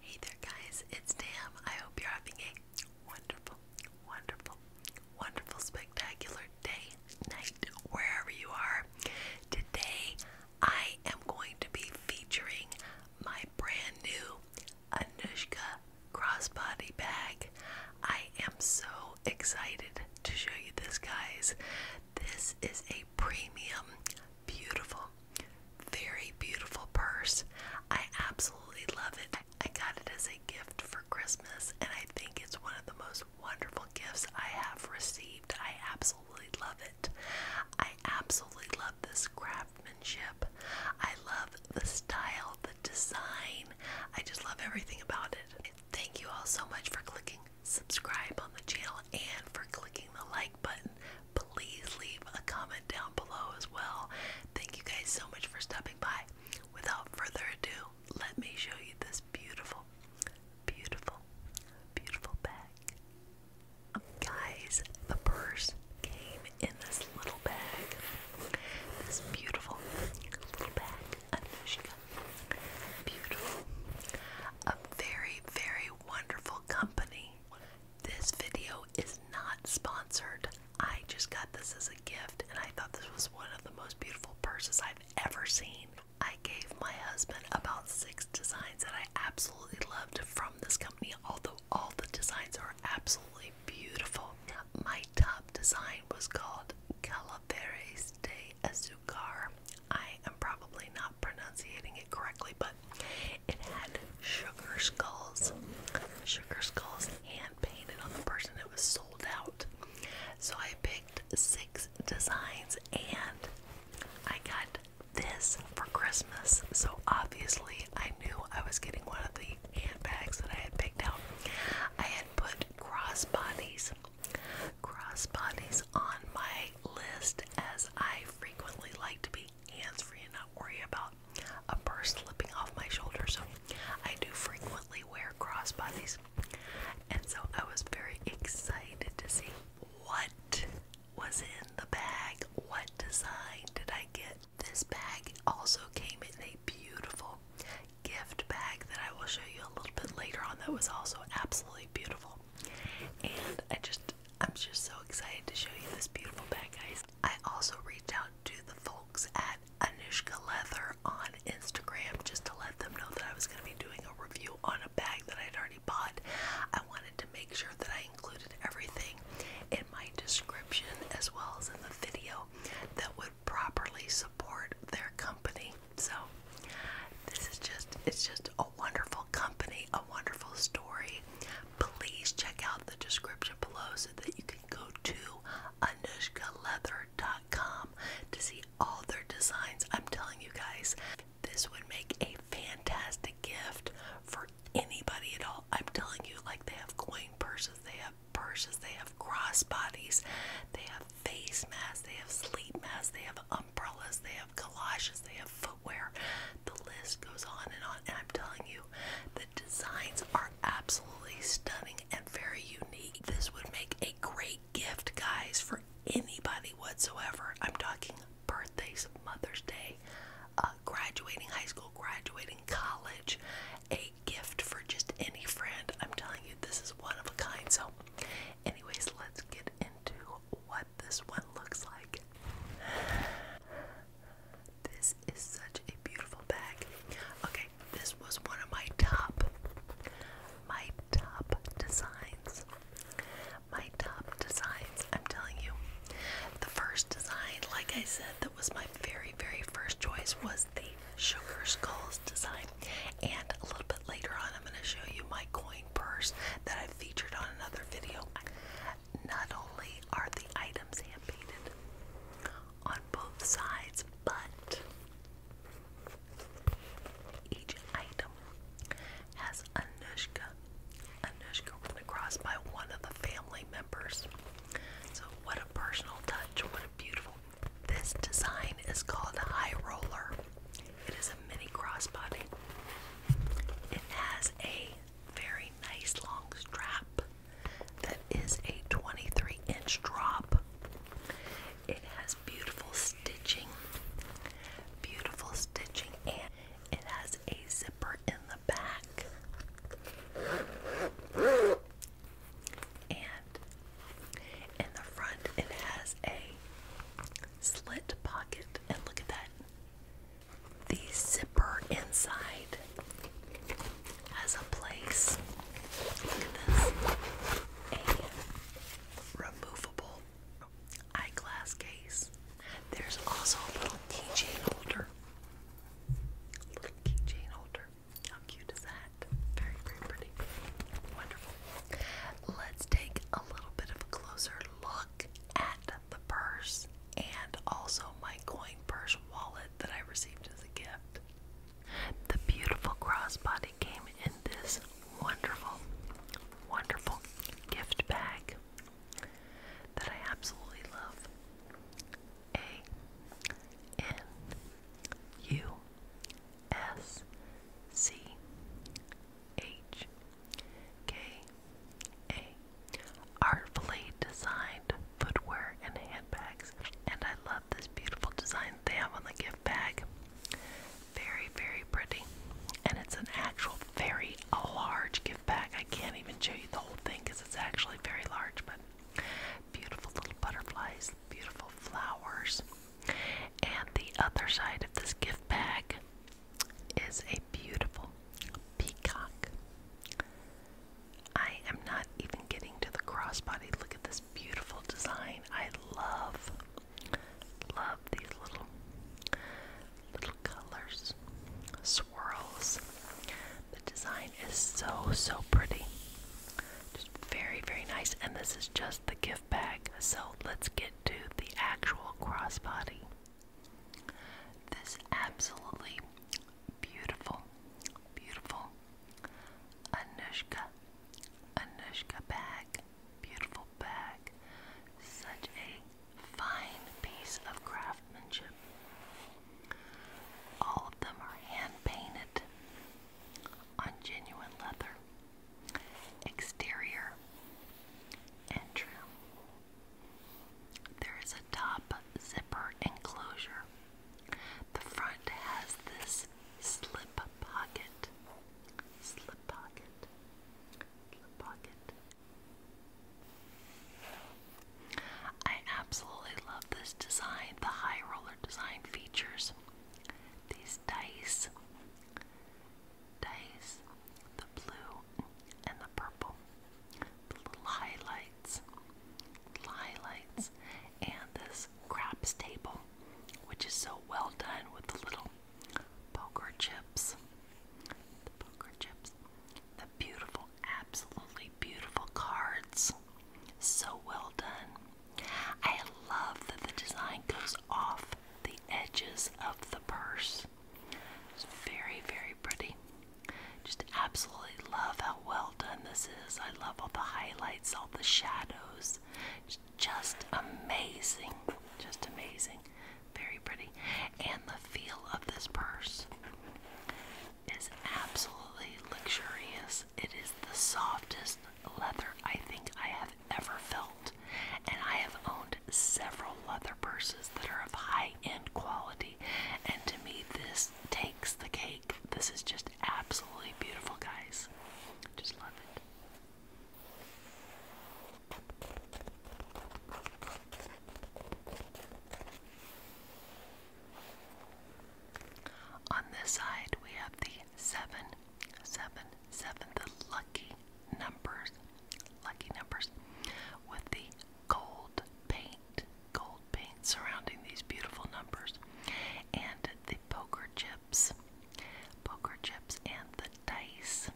Hey there, guys, it's Tam. I hope you're having a wonderful, wonderful, wonderful, spectacular day, night, wherever you are. Today, I am going to be featuring my brand new Anushka crossbody bag. I am so excited to show you this, guys. This is a premium, beautiful, very beautiful purse. I absolutely love it. I got it as a gift for Christmas, and I think it's one of the most wonderful gifts I have received. I absolutely love it. I absolutely love this craftsmanship. I love the style, the design. I just love everything about it. Thank you all so much for clicking subscribe on the channel and for clicking the like button please leave a comment down below as well. Thank you guys so much for stopping by. Without further ado, let me show you this beautiful, beautiful, beautiful bag. Um, guys, the purse came in this little bag. This beautiful little bag. Beautiful. A very, very wonderful company this video is not sponsored. I just got this as a gift and I thought this was one of the most beautiful purses I've ever seen. I gave my husband about six designs that I absolutely loved from this company, although all the designs are absolutely beautiful. My top design was called Calaveras de Azucar. I am probably not pronouncing it correctly, but it had sugar skulls, sugar skulls hand painted on the person. It was sold out. So I picked six designs and I got this for Christmas. So obviously I knew I was getting one of the handbags that I had picked out. I had put crossbodies crossbodies on my list as I frequently like to be hands free and not worry about a purse slipping off my shoulder. So I do frequently wear crossbodies. And so I was very excited to see what was in the bag. What design did I get? This bag also came in a beautiful gift bag that I will show you a little bit later on that was also absolutely beautiful. And I just I'm just so excited to show you this beautiful bag, guys. I also reached out to the folks at Anushka Leather on Instagram just to let them know that I was going to be doing a review on a bag that I'd already bought. I wanted to make sure that I included everything in my description as well as in the video that would properly support their company. So, this is just it's just a wonderful company, a wonderful story. Please check out the description below so that you can go to anushkaleather.com to see all their designs. I'm telling you guys, this would make a fantastic gift for anybody at all. I'm telling you, like they have coin purses, they have purses, they have crossbodies, they have face masks, they have sleep masks, they have umbrellas, they have collages, they have footwear. The list goes on and on. And I'm telling you, the designs are absolutely stunning and very unique. This would make a great gift, guys, for anybody whatsoever. I'm talking birthdays, Mother's Day, uh, graduating high school, graduating college, a gift for just any friend. I'm telling you, this is one of a kind. So, anyways, let's get into what this one looks like. This is such a beautiful bag. Okay, this was one of my top, my top designs. My top designs, I'm telling you. The first design, like I said, that was my very, very first choice was the Sugar Skulls design. And a little bit later on, I'm going to show you my coin purse that I featured on another video. Not only are the items hand painted on both sides, but each item has Anushka. Anushka written across by one of the family members. So, what a personal touch! What a beautiful. This design is called High Roller. It is a mini crossbody. It has a very nice long strap that is a 23 inch drop. It has beautiful stitching, beautiful stitching, and it has a zipper in the back. And in the front, it has a slit pocket, and look at that the zipper inside has a place. Look at this. A removable eyeglass case. There's also a little keychain holder. little keychain holder. How cute is that? Very, very pretty. Wonderful. Let's take a little bit of a closer look at the purse and also my coin purse wallet that I received as a gift. The beautiful crossbody came in this wonderful, wonderful gift bag that I absolutely love. A N U S C H K a. Artfully designed footwear and handbags. And I love this beautiful design they have on the gift bag. Very, very pretty. And it's an actual very large gift bag. I can't even show you the whole thing because it's actually very large, but beautiful little butterflies, beautiful flowers. And the other side of this gift bag is a beautiful peacock. I am not even getting to the crossbody. Look at this beautiful design. I love, love these little, little colors, swirls. The design is so, so pretty. Just very, very nice. And this is just the gift bag. So let's get to the actual crossbody. This absolutely beautiful, beautiful Anushka, Anushka bag, beautiful bag, such a fine piece of craftsmanship. All of them are hand painted on genuine leather exterior, and There is a top zipper enclosure. The front has this slip pocket. Slip pocket. Slip pocket. I absolutely love this design, the high roller design features. These dice dice, the blue and the purple, the little highlights, highlights, and this craps table, which is so well done with the little poker chips, the poker chips, the beautiful, absolutely beautiful cards, so well done. I love that the design goes off the edges of the purse. It's very, very pretty. Just absolutely love how well done this is. I love all the highlights, all the shadows. It's just amazing. Just amazing. Very pretty. And the feel of this purse is absolutely luxurious. It is the softest leather I think I have ever felt and I have owned several leather purses that are of high end quality. And to me, this takes the cake. This is just absolutely beautiful, guys. Just love it. On this side, we have the seven, seven, seven the lucky numbers lucky numbers with the gold paint gold paint surrounding these beautiful numbers and the poker chips poker chips and the dice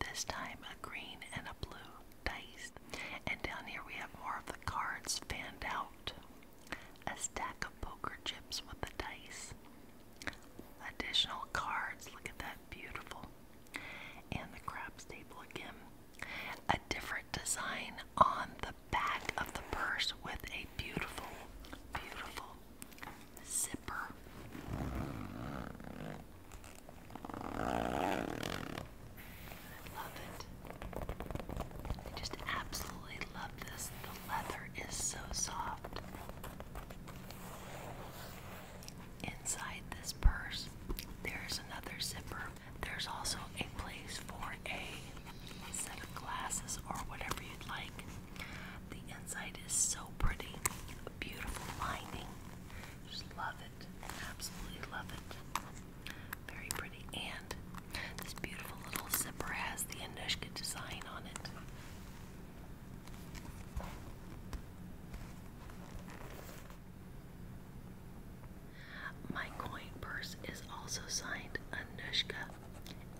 this time a green and a blue dice and down here we have more of the cards fanned out a stack of poker chips with the dice additional cards look at that beautiful. And the crab staple again. A different design on the back of the purse with a beautiful, beautiful zipper. Love it. I just absolutely love this. The leather is so soft. Inside this purse, there's another zipper. There's also a place for a set of glasses or whatever you'd like. The inside is so pretty. beautiful lining. Just love it. Absolutely love it. Very pretty. And this beautiful little zipper has the Anushka design on it. My coin purse is also signed Anushka,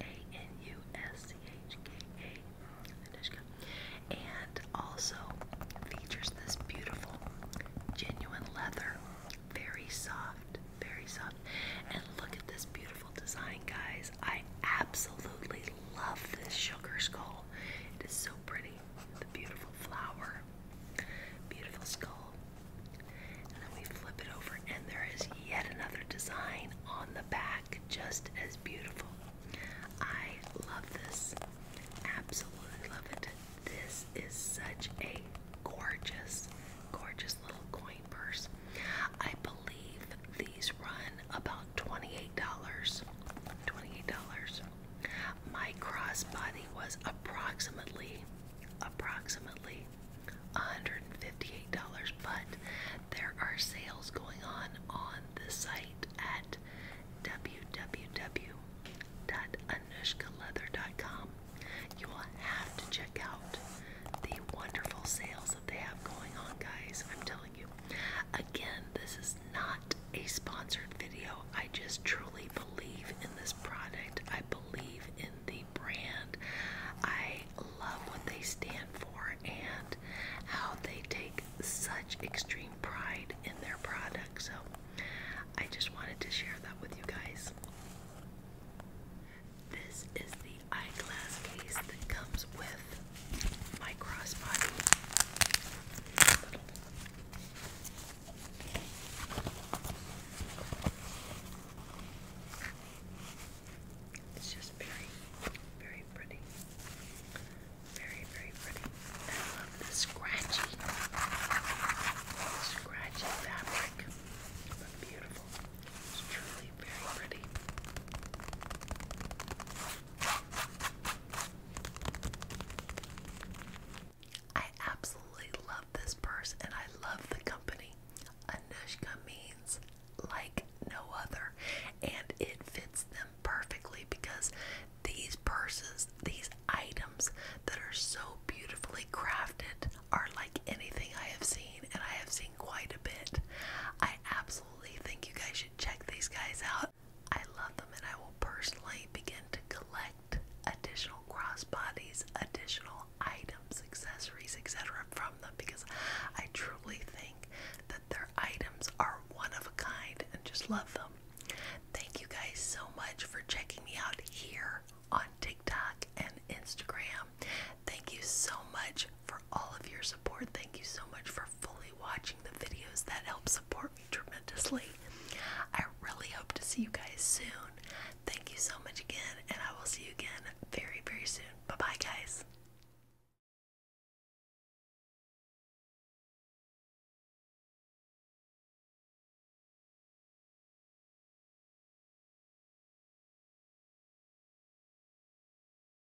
A-N-U-S-C-H-K-A, Anushka, and also features this beautiful genuine leather, very soft, very soft. And look at this beautiful design, guys. I absolutely love this sugar skull. It is so pretty. The beautiful flower, beautiful skull. And then we flip it over, and there is yet another design on the back, just as beautiful. I love this. Absolutely love it. This is such a gorgeous, gorgeous little coin purse. I believe these run about $28. $28. My crossbody was approximately approximately $158, but there are sales going on on the site at www.anushkaleather.com. You will have to check out the wonderful sales that they have going on, guys. I'm telling Again, this is not a sponsored video. I just truly believe in this product. I believe in the brand. I love what they stand for and how they take such extreme pride in their product. So I just wanted to share that with you guys. This is the eyeglass case that comes with my crossbody. It's just very, very pretty. Very, very pretty. I love the scratchy, scratchy fabric. But beautiful. It's truly very pretty. I absolutely love this purse and I love the company. Anushka means like no other, and it fits them perfectly because these purses, these items that are so beautifully crafted, are like anything I have seen, and I have seen quite a bit. I absolutely absolutely think you guys should check these guys out. I love them and I will personally begin to collect additional crossbodies, additional items, accessories, etc. from them because I truly think that their items are one of a kind and just love them. Thank you guys so much for checking me out here on TikTok and Instagram. Thank you so much for all of your support. Thank you so much for fully watching the videos. That help support me tremendously. I really hope to see you guys soon. Thank you so much again, and I will see you again very, very soon. Bye bye, guys.